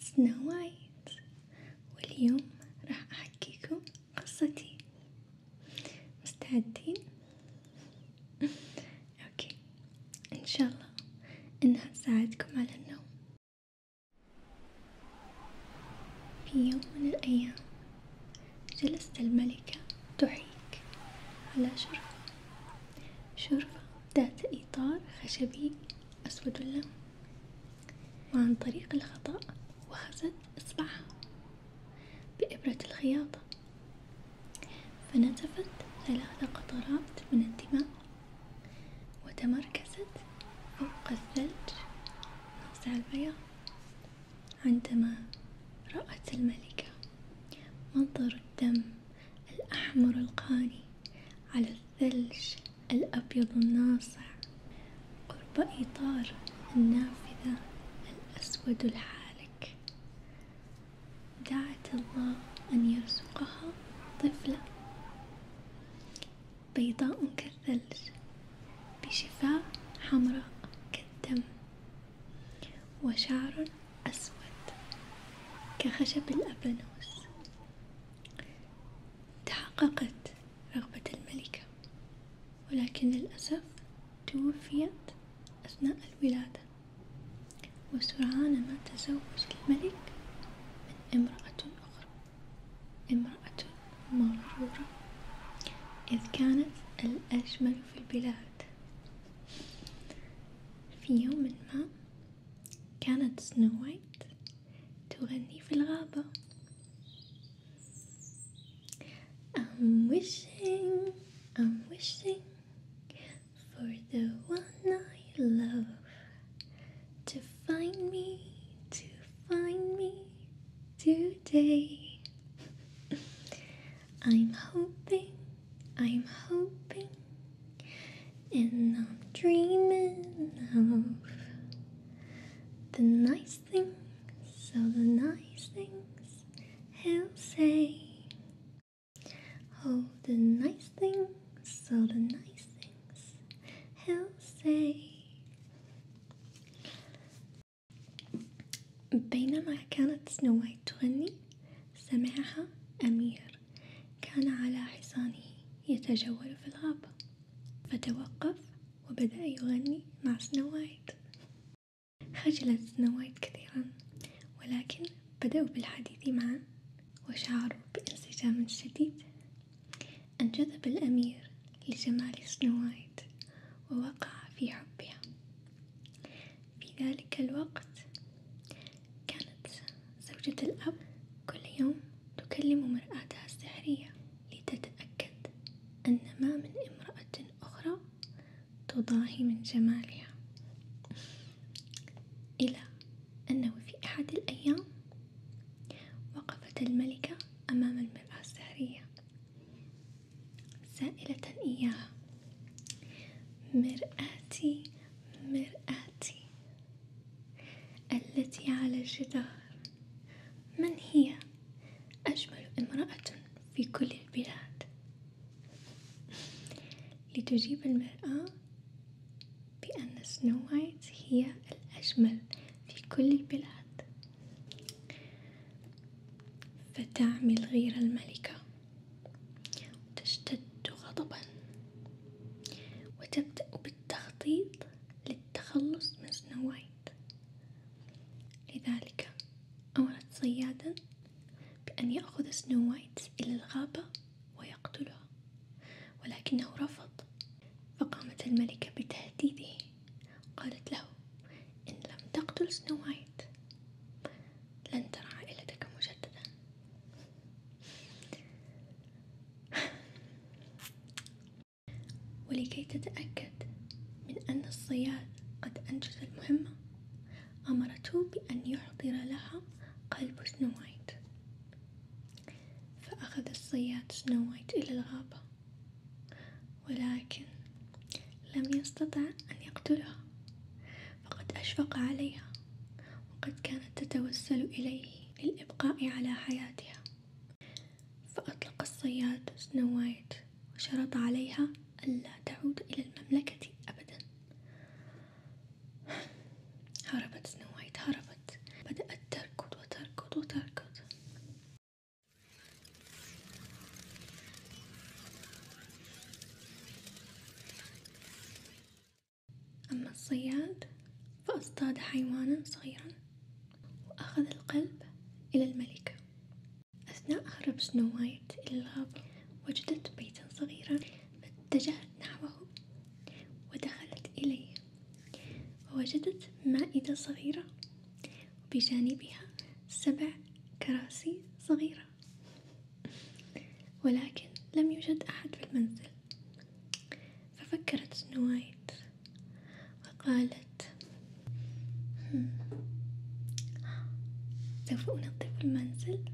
سنو وايت واليوم راح أحكيكم قصتي مستعدين؟ أوكي إن شاء الله إنها تساعدكم على النوم في يوم من الأيام جلست الملكة تحيك على شرفة شرفة ذات إطار خشبي أسود اللون وعن طريق الخطأ وخزت إصبعها بإبرة الخياطة فنزفت ثلاث قطرات من الدماء وتمركزت فوق الثلج ناصع البياض عندما رأت الملكة منظر الدم الأحمر القاني على الثلج الأبيض الناصع قرب إطار النافذة الأسود الحالك دعت الله أن يرزقها طفلة بيضاء كالثلج بشفاه حمراء كالدم وشعر أسود كخشب الأبانوس تحققت رغبة الملكة ولكن للأسف توفيت أثناء الولادة وسرعان ما تزوج الملك من امرأة أخرى امرأة مغرورة إذ كانت الأجمل في البلاد في يوم ما Can كانت سنو وايت تغني في الغابة I'm wishing, I'm wishing for the one I love to find me, to find me today. I'm hoping I'm hoping and I'm dreaming of the nice things, so the nice things he'll say. Oh, the nice things, so the nice things he'll say. بينما كانت Snow White 20. سمعها أمير كان على حصانه يتجول في الغابة فتوقف وبدأ يغني مع سنو وايت خجلت سنو وايت كثيرا ولكن بدأوا بالحديث معا وشعروا بانسجام شديد انجذب الأمير لجمال سنو وايت ووقع في حبها في ذلك الوقت كانت زوجة الأب كل يوم تكلم مرآتها السحرية لتتأكد أن ما من امرأة أخرى تضاهي من جمالها إلى أنه في أحد الأيام وقفت الملكة أمام المرآة السحرية سائلة إياها مرآتي مرآتي التي على الجدار من هي أجمل امرأة في كل البلاد لتجيب المرأة بأن سنو وايت هي الأجمل في كل البلاد فتعمل غير الملكة تشتد غضبا وتبدأ بالتخطيط للتخلص من سنو وايت لذلك أمرت صيادا بأن يأخذ سنو وايت إلى الغابة ويقتله ولكنه رفض فقامت الملكة بتهديده قالت له إن لم تقتل سنو وايت لن ترى عائلتك مجددا ولكي تتأكد من أن الصياد قد أنجز المهمة أمرته بأن يحضر لها قلب سنو وايت فأخذ الصياد سنو وايت إلى الغابة ولكن لم يستطع أن يقتلها فقد أشفق عليها وقد كانت تتوسل إليه للإبقاء على حياتها فأطلق الصياد سنو وايت وشرط عليها ألا تعود إلى المملكة أبدا هربت سنو وايت هربت بدأت تركض وتركض وتركض أما الصياد فاصطاد حيوانا صغيرا وأخذ القلب إلى الملكة أثناء هرب سنو وايت إلى الغابة وجدت بيتا صغيرا فاتجهت نحوه ودخلت إليه ووجدت مائدة صغيرة وبجانبها سبع كراسي صغيرة ولكن لم يوجد أحد في المنزل ففكرت سنو وايت وقالت سوف أنظف المنزل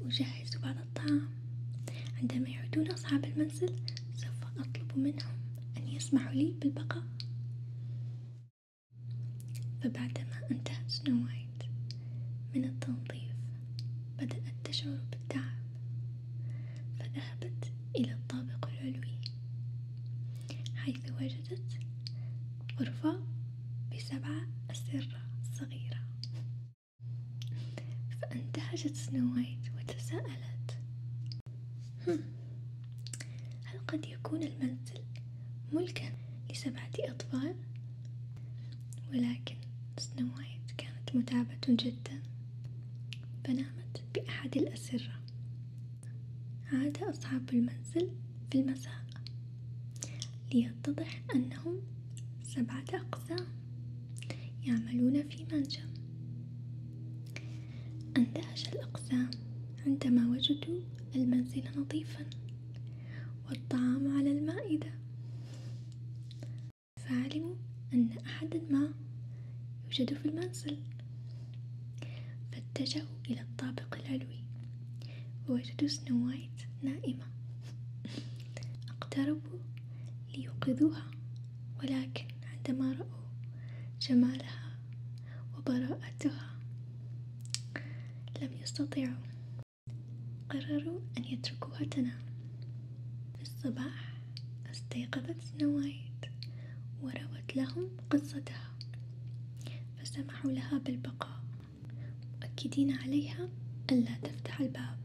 وأجهز بعض الطعام عندما يعودون أصحاب المنزل سوف أطلب منهم أن يسمحوا لي بالبقاء فبعد ما انتهت سنو من التنظيف بدأت تشعر بالتعب فذهبت إلى الطابق العلوي حيث وجدت غرفة بسبعة أسرة صغيرة فانتهجت سنو وتساءلت هل قد يكون المنزل ملكا لسبعة أطفال ولكن سنوايت كانت متعبة جدا فنامت بأحد الأسرة عاد أصحاب المنزل في المساء ليتضح أنهم سبعة أقزام يعملون في منجم اندهش الأقزام عندما وجدوا المنزل نظيفا والطعام على المائدة فعلموا أن أحدا ما يوجد في المنزل فاتجهوا إلى الطابق العلوي ووجدوا سنو وايت نائمة اقتربوا ليوقظوها ولكن عندما رأوا جمالها وبراءتها لم يستطيعوا قرروا أن يتركوها تنام في الصباح استيقظت سنو وروت لهم قصتها فسمحوا لها بالبقاء مؤكدين عليها أن لا تفتح الباب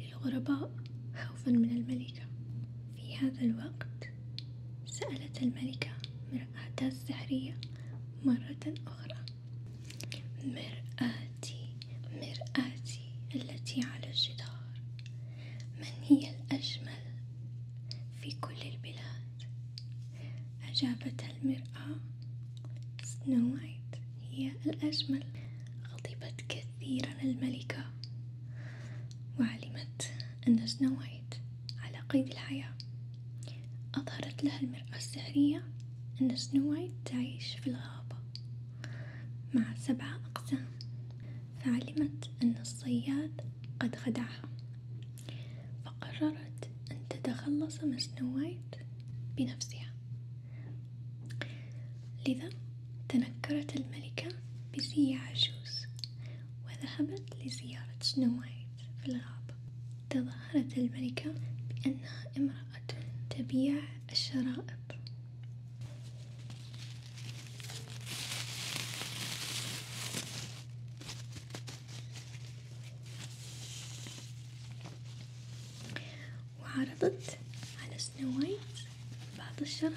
للغرباء خوفا من الملكة في هذا الوقت سألت الملكة مرآتها السحرية مرة أخرى مرآتي مرآتي التي على الجدار من هي الأجمل في كل البلاد أجابت المرأة سنو وايت هي الأجمل غضبت كثيرا الملكة وعلمت أن سنو وايت على قيد الحياة أظهرت لها المرأة السحرية أن سنو وايت تعيش في الغابة مع سبعة أقزام فعلمت أن الصياد قد خدعها فقررت أن تتخلص من سنو وايت بنفسها لذا تنكرت الملكة بزي عجوز وذهبت لزيارة سنو وايت في الغابة تظاهرت الملكة بأنها امرأة تبيع الشرائط وعرضت على سنو وايت بعض الشرائط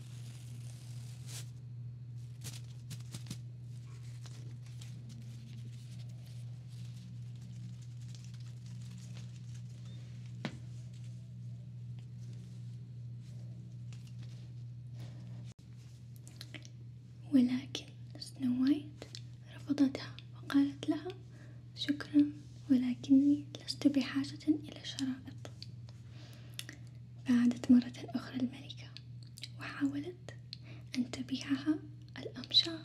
ولكن سنو وايت رفضتها وقالت لها شكرا ولكني لست بحاجة إلى شرائط فعادت مرة أخرى الملكة وحاولت أن تبيعها الأمشاط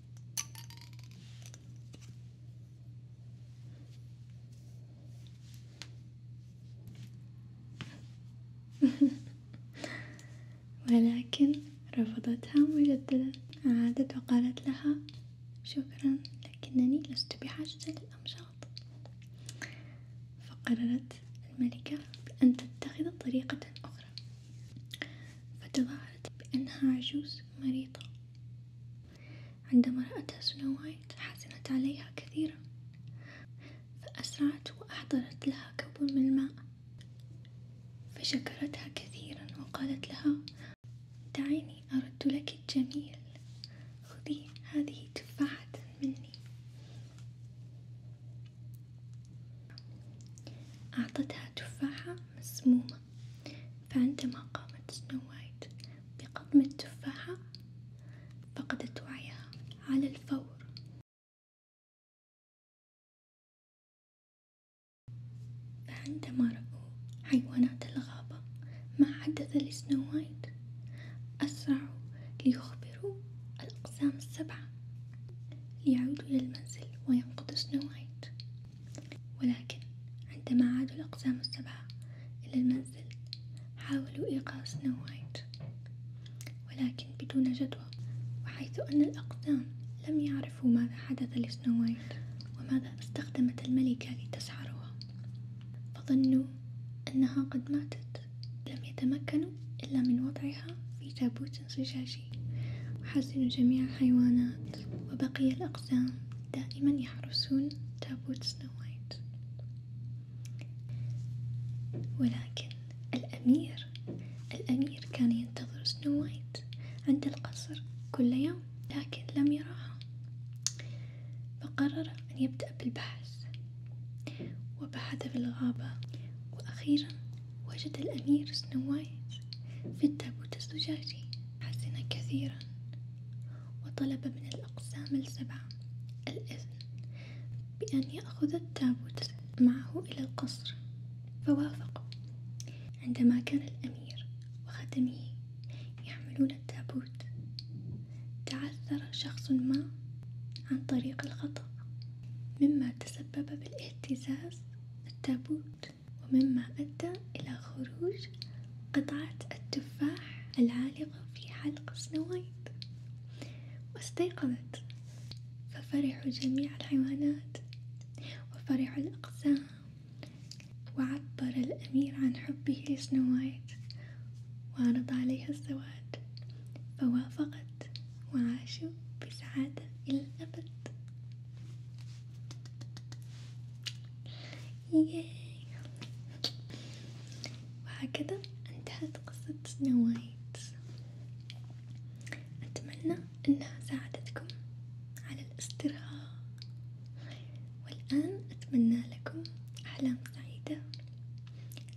ولكن رفضتها مجددا عادت وقالت لها شكرا لكنني لست بحاجة للأمشاط فقررت الملكة بأن تتخذ طريقة أخرى فتظاهرت بأنها عجوز مريضة عندما رأتها سنو وايت حزنت عليها كثيرا فأسرعت وأحضرت لها كوب من الماء فشكرتها كثيرا وقالت لها دعيني أرد لك الجميل خذي هذه تفاحة مني أعطتها تفاحة مسمومة فعندما قامت سنو وايت بقضم التفاحة فقدت وعيها على الفور فعندما رأوا حيوانات الغابة ما حدث لسنو وايت أسرعوا ليخبروا الأقسام السبعة ليعودوا إلى المنزل وينقذوا سنو وايت ولكن عندما عادوا الأقزام السبعة إلى المنزل حاولوا إيقاظ سنو وايت ولكن بدون جدوى وحيث أن الأقزام لم يعرفوا ماذا حدث لسنو وايت وماذا استخدمت الملكة لتسحرها فظنوا أنها قد ماتت لم يتمكنوا إلا من وضعها وراءها في تابوت زجاجي وحزن جميع الحيوانات وبقي الأقزام دائما يحرسون تابوت سنو وايت ولكن الأمير الأمير كان ينتظر سنو وايت عند القصر كل يوم لكن لم يراها فقرر أن يبدأ بالبحث وبحث في الغابة وأخيرا وجد الأمير سنو وايت في التابوت الزجاجي حزن كثيرا وطلب من الأقسام السبعة الإذن بأن يأخذ التابوت معه إلى القصر فوافقوا عندما كان الأمير وخدمه يحملون التابوت تعثر شخص ما عن طريق الخطأ مما تسبب بالاهتزاز التابوت ومما أدى إلى خروج قطعة التفاح العالقة في حلق سنوايت واستيقظت ففرحوا جميع الحيوانات وفرحوا الأقزام وعبر الأمير عن حبه لسنوايت وعرض عليها الزواج فوافقت وعاشوا تكون بسعادة إلى الأبد ياي وهكذا انتهت قصة سنو وايت أتمنى أنها ساعدتكم على الاسترخاء والآن أتمنى لكم أحلام سعيدة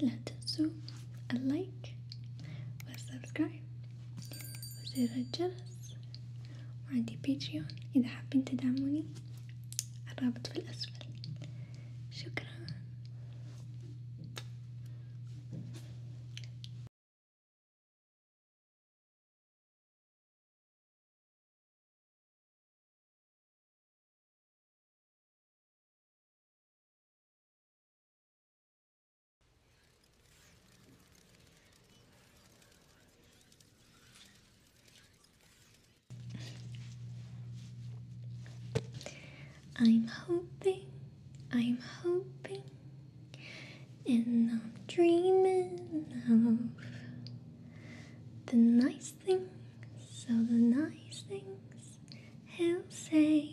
لا تنسوا اللايك والسبسكرايب وزر الجرس وعندي بيتريون إذا حابين تدعموني الرابط في الأسفل شكرا I'm hoping, I'm hoping, and I'm dreaming of the nice things, so the nice things he'll say.